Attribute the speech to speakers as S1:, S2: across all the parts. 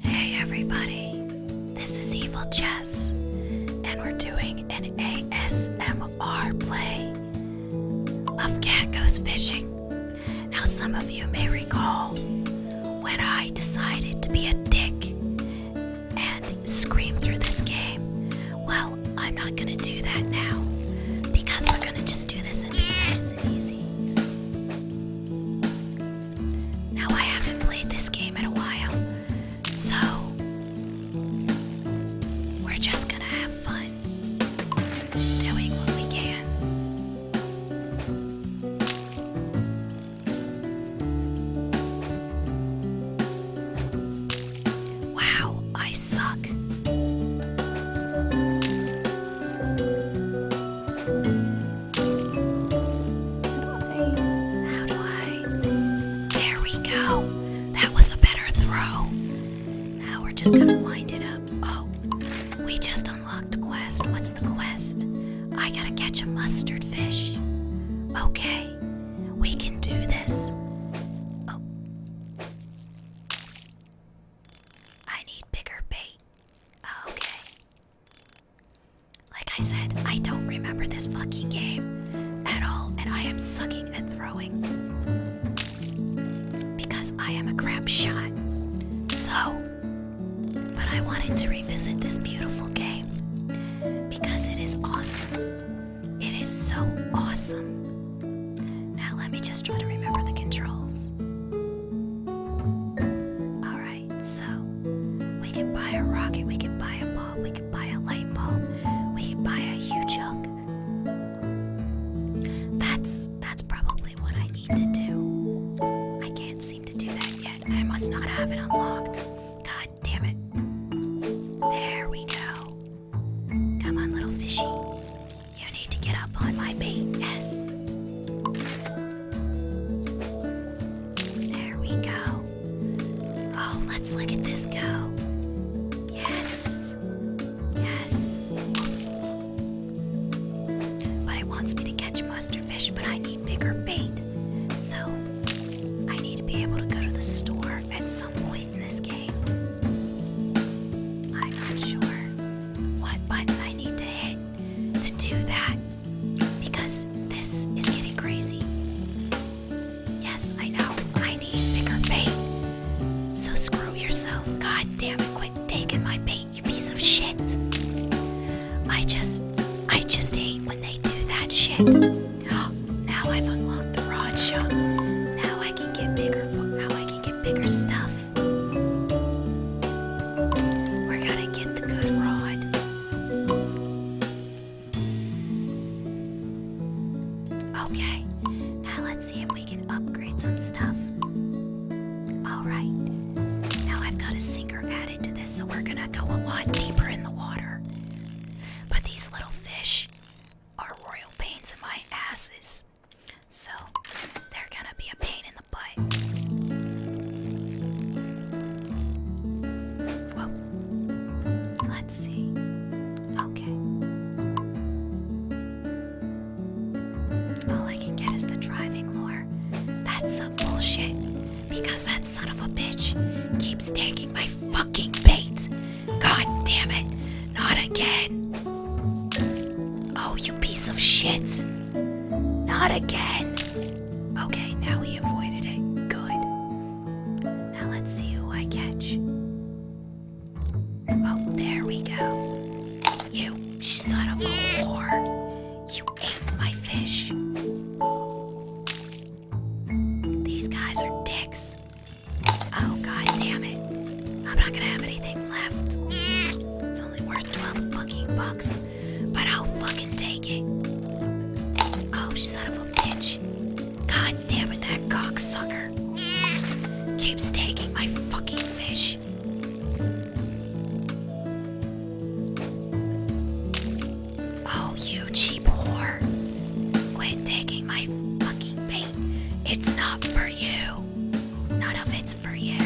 S1: Hey everybody, this is Evil Chess, and we're doing an ASMR play of Cat Goes Fishing. Now, some of you may recall when I decided to be a dick and scream through this game. Well, I'm not gonna do that now because we're gonna just do this and be nice and easy. Now, I haven't played this game in a while, so we're just gonna have fun doing what we can. Wow, I suck. There we go. That was a better throw. Now we're just gonna wind it up. Oh, we just unlocked a quest. What's the quest? I gotta catch a mustard fish. Okay, we can do this. Oh, I need bigger bait. Oh, okay. Like I said, I don't remember this fucking game at all, and I am sucking at throwing. Because I am a crap shot. So, but I wanted to revisit this beautiful game because it is awesome. It is so awesome. Now let me just try to remember the controls. Alright, so we can buy a rocket, we can buy a bulb, we can buy a light bulb, we can buy a huge hug. That's that's probably what I need to do. I can't seem to do that yet. I must not have it unlocked. God damn it. There we go. Come on, little fishy. You need to get up on my bait. Yes. There we go. Oh, let's look at this go. Yes. Yes. Oops. But it wants me to catch mustard fish, but I need bigger bait. So I need to be able to go to the store at some point in this game. I'm not sure what button I need to hit to do that because this is getting crazy. Yes, I know. I need bigger bait. So screw yourself. God damn it. Quit taking my bait, you piece of shit. I just I just hate when they do that shit now I've unlocked the rod shop. Now I can get bigger. Now I can get bigger stuff. We're gonna get the good rod. Okay. Now let's see if we can upgrade some stuff. All right. Now I've got a sinker added to this, so we're gonna go a lot deeper in the water. But these little fish are royal pains in my asses. So they're gonna be a pain in the butt. let's see. Okay. All I can get is the driving lore. That's some bullshit. Because that son of a bitch keeps taking my fucking bait! God damn it. Not again. Oh, you piece of shit. Not again. Okay, now we avoided it. Good. Now let's see who I catch. Oh, there we go. You son of a whore. You ate my fish. These guys are dicks. Oh, god damn it. I'm not gonna have anything left. It's only worth 12 fucking bucks, but I'll fucking take it. Oh, son of a bitch. God damn it, that cocksucker keeps taking my fucking fish. Oh, you cheap whore. Quit taking my fucking bait. It's not for you. None of it's for you.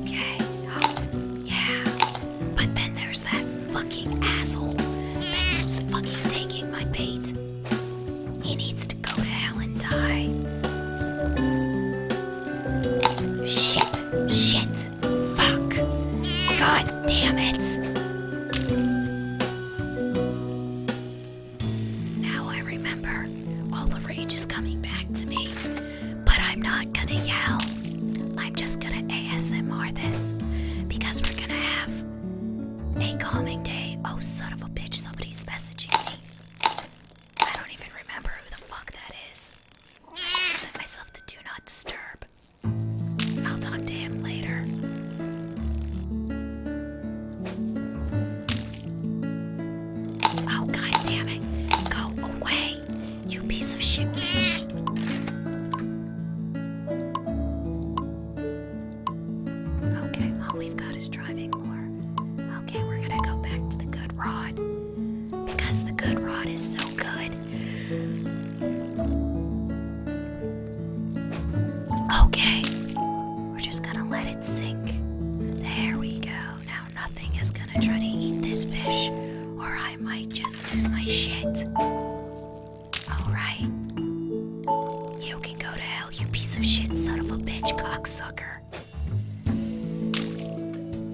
S1: Okay. yeah. But then there's that fucking asshole that keeps fucking taking my bait. He needs to go to hell and die. Shit! Shit! Fuck! God damn it! Now I remember. All the rage is coming back to me. But I'm not gonna yell. I'm just gonna ASMR this because we're gonna have a calming day. Oh, son of a bitch, somebody's messaging me. I don't even remember who the fuck that is. should have myself to do not disturb. I'll talk to him later. Oh god Go away, you piece of shit. Okay, all we've got is driving lore. Okay, we're gonna go back to the good rod. Because the good rod is so good. Okay, we're just gonna let it sink. There we go. Now nothing is gonna try to eat this fish, or I might just lose my shit. Alright. You can go to hell you piece of shit, son of a bitch, cocksucker.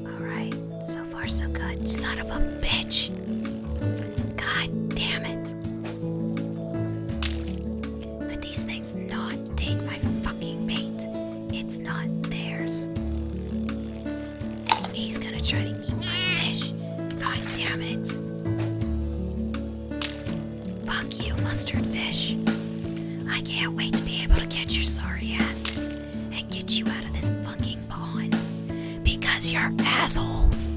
S1: Alright, so far so good. Son of a bitch. God damn it. Could these things not take my fucking bait? It's not theirs. He's gonna try to eat my fish. God damn it. Fuck you, mustard fish. I can't wait to be able to catch your sorry asses and get you out of this fucking pond. Because you're assholes.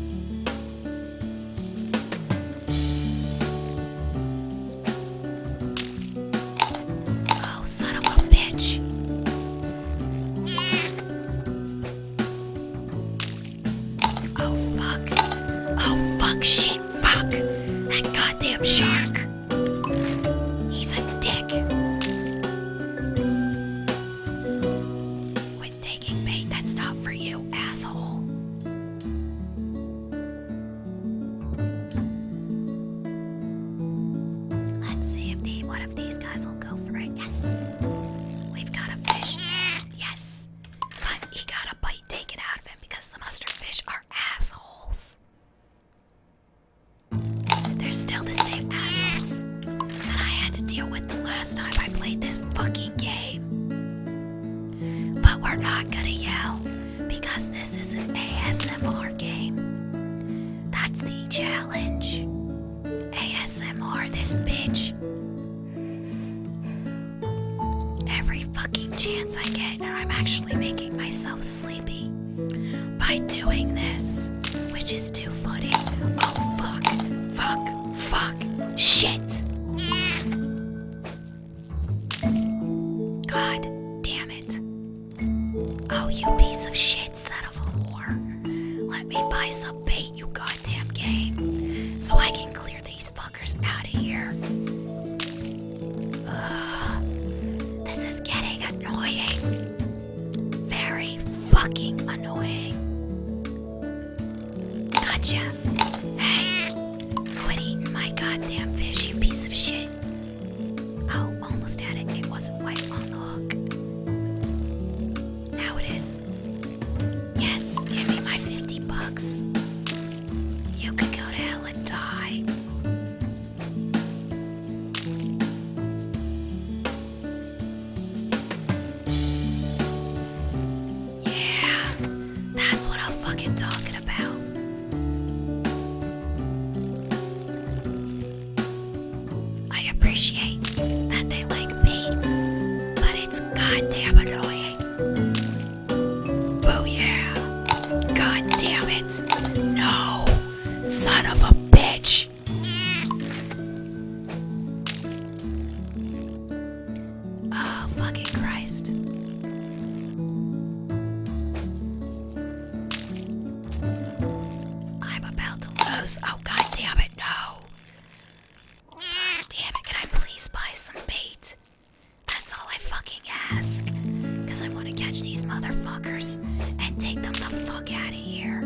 S1: Oh, son of a bitch. Oh fuck. Oh fuck, shit, fuck. That goddamn shark. He's a dick. Quit taking bait, that's not for you, asshole. Let's see if one of these guys will go for it. Yes. We've got a fish. Yes. But he got a bite taken out of him because the mustard fish are assholes. They're still the same assholes that I had to deal with the last time I played this fucking game. But we're not gonna yell because this is an ASMR game. That's the challenge. ASMR this bitch every fucking chance I get, I'm actually making myself sleepy by doing this, which is too funny. Oh fuck, fuck, fuck, shit. God damn it. Oh, you piece of shit, son of whore. Let me buy some bait, you goddamn game, so I can clear these fuckers out of here. This is getting annoying. Very fucking annoying. Gotcha. Hey, quit eating my goddamn fish, you piece of shit. Oh, almost had it. It wasn't quite on the hook. Now it is. Yes, give me my 50 bucks. You could go to hell and die. Yeah, that's what I'm fucking talking about. I appreciate that they like paint, but it's is goddamn annoying. Oh yeah. God damn it. No. Son of a bitch. Oh, fucking Christ. I'm about to lose. Oh, god damn it, no. Damn it, can I please buy some bait? That's all I fucking ask. Because I want to catch these motherfuckers and take them the fuck out of here.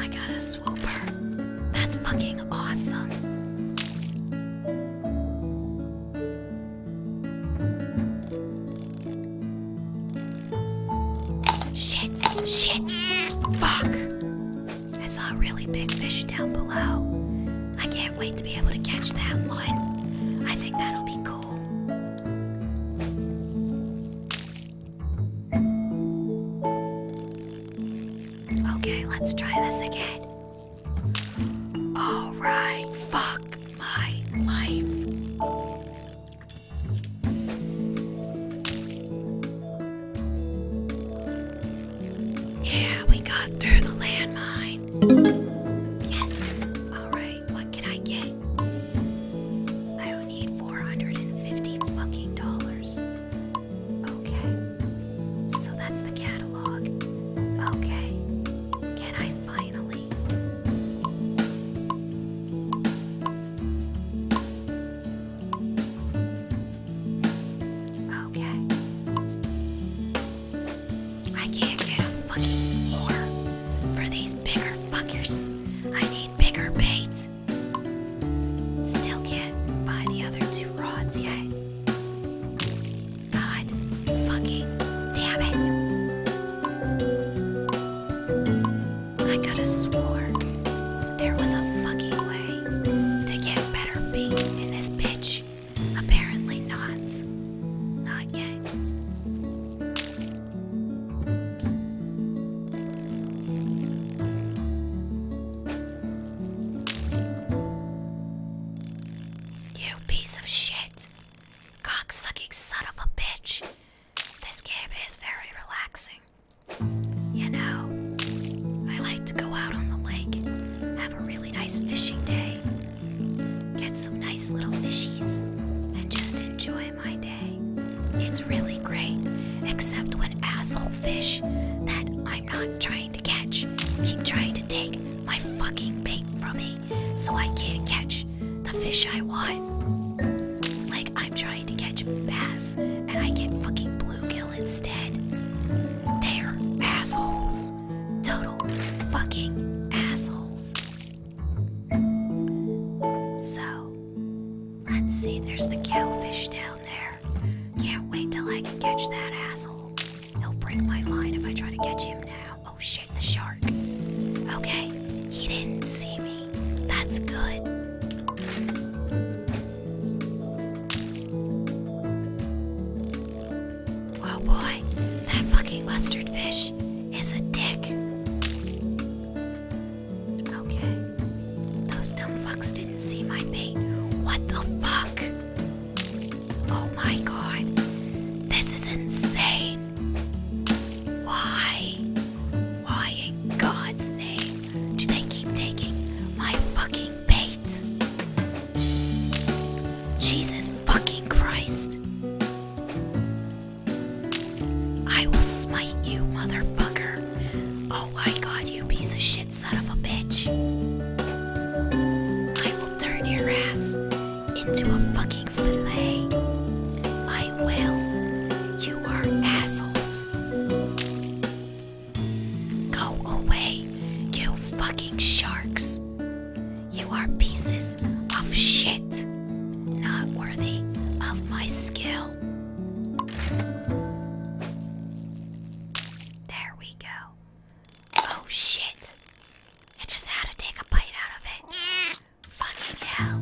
S1: I got a swooper. That's fucking awesome. Shit, shit, fuck. I saw a really big fish down below. I can't wait to be able to catch that one. I think that'll be cool. Okay, let's try this again. Alright, fuck my life. Yeah, we got through the landmine. Yes! Alright, what can I get? I need 450 fucking dollars. Okay. So that's the catalog. Okay. Can I finally Okay. I can't get a fucking floor for these bigger fuckers. I need bigger bait. Still can't buy the other two rods yet. God fucking damn it. I could have sworn there was a fucking way to get better beat in this bitch. Apparently not. Not yet. You piece of shit. Cock sucking son of a bitch. This game is very relaxing. You know, I like to go out on the lake, have a really nice fishing day, get some nice little fishies, and just enjoy my day. It's really great, except when asshole fish that I'm not trying to catch keep trying to take my fucking bait from me so I can't catch the fish I want. Like, I'm trying to catch bass, and I get fucking bluegill instead. They're assholes. Total fucking assholes. So, let's see, there's the cowfish down there. Can't wait till I can catch that asshole. He'll break my line if I try to catch him now. Oh shit, the shark. Okay, he didn't see me. That's good. Oh boy, that fucking mustard fish is a dick. Okay, those dumb fucks didn't see my bait. What the fuck? Oh my god. This is insane. Why? Why God's name do they keep taking my fucking bait? Jesus fucking Christ. I will smite you, motherfucker. Oh my god, you piece of shit, son of a bitch. I will turn your ass into a fucking fillet. I will. You are assholes. Go away, you fucking sharks. You are pieces of shit, not worthy of my skill. There we go. Oh shit! I just had to take a bite out of it. Fucking hell.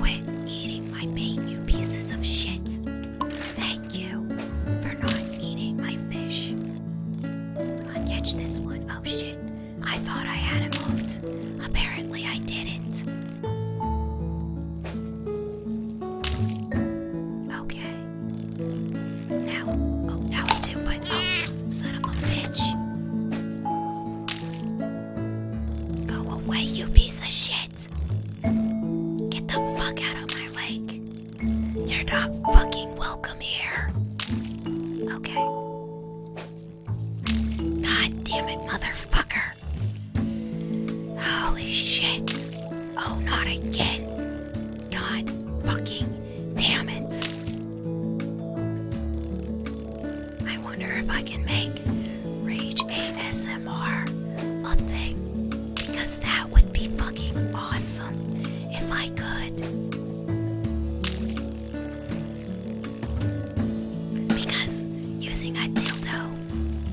S1: Quit eating my bait, you pieces of shit. Thank you for not eating my fish. i catch this one. Oh shit. I thought I had it hooked. Apparently I didn't. Okay. Now, oh, now we did what? son of a bitch. Go away, you piece of shit. Get the fuck out of my lake. You're not fucking welcome here. Okay. God damn it, motherfucker. Holy shit. Oh, not again. God fucking damn it. I wonder if I can make Rage ASMR a thing. Because that would be fucking awesome if I could. Because using a dildo,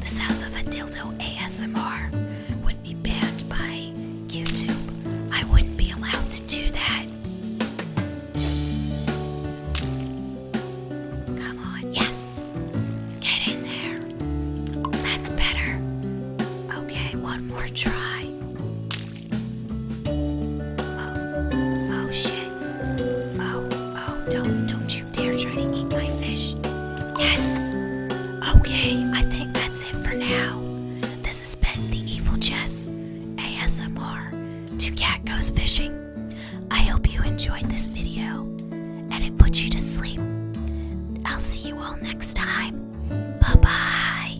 S1: the sounds of a dildo ASMR would be banned by YouTube. I wouldn't be allowed to do that. Come on, yes! Get in there. That's better. Okay, one more try. Oh, oh shit. Oh, oh, don't, don't you dare try to eat my fish. Yes. Okay, I think that's it for now. This has been the Evil Chess ASMR. Two cat goes fishing. I hope you enjoyed this video and it put you to sleep. I'll see you all next time. Bye bye.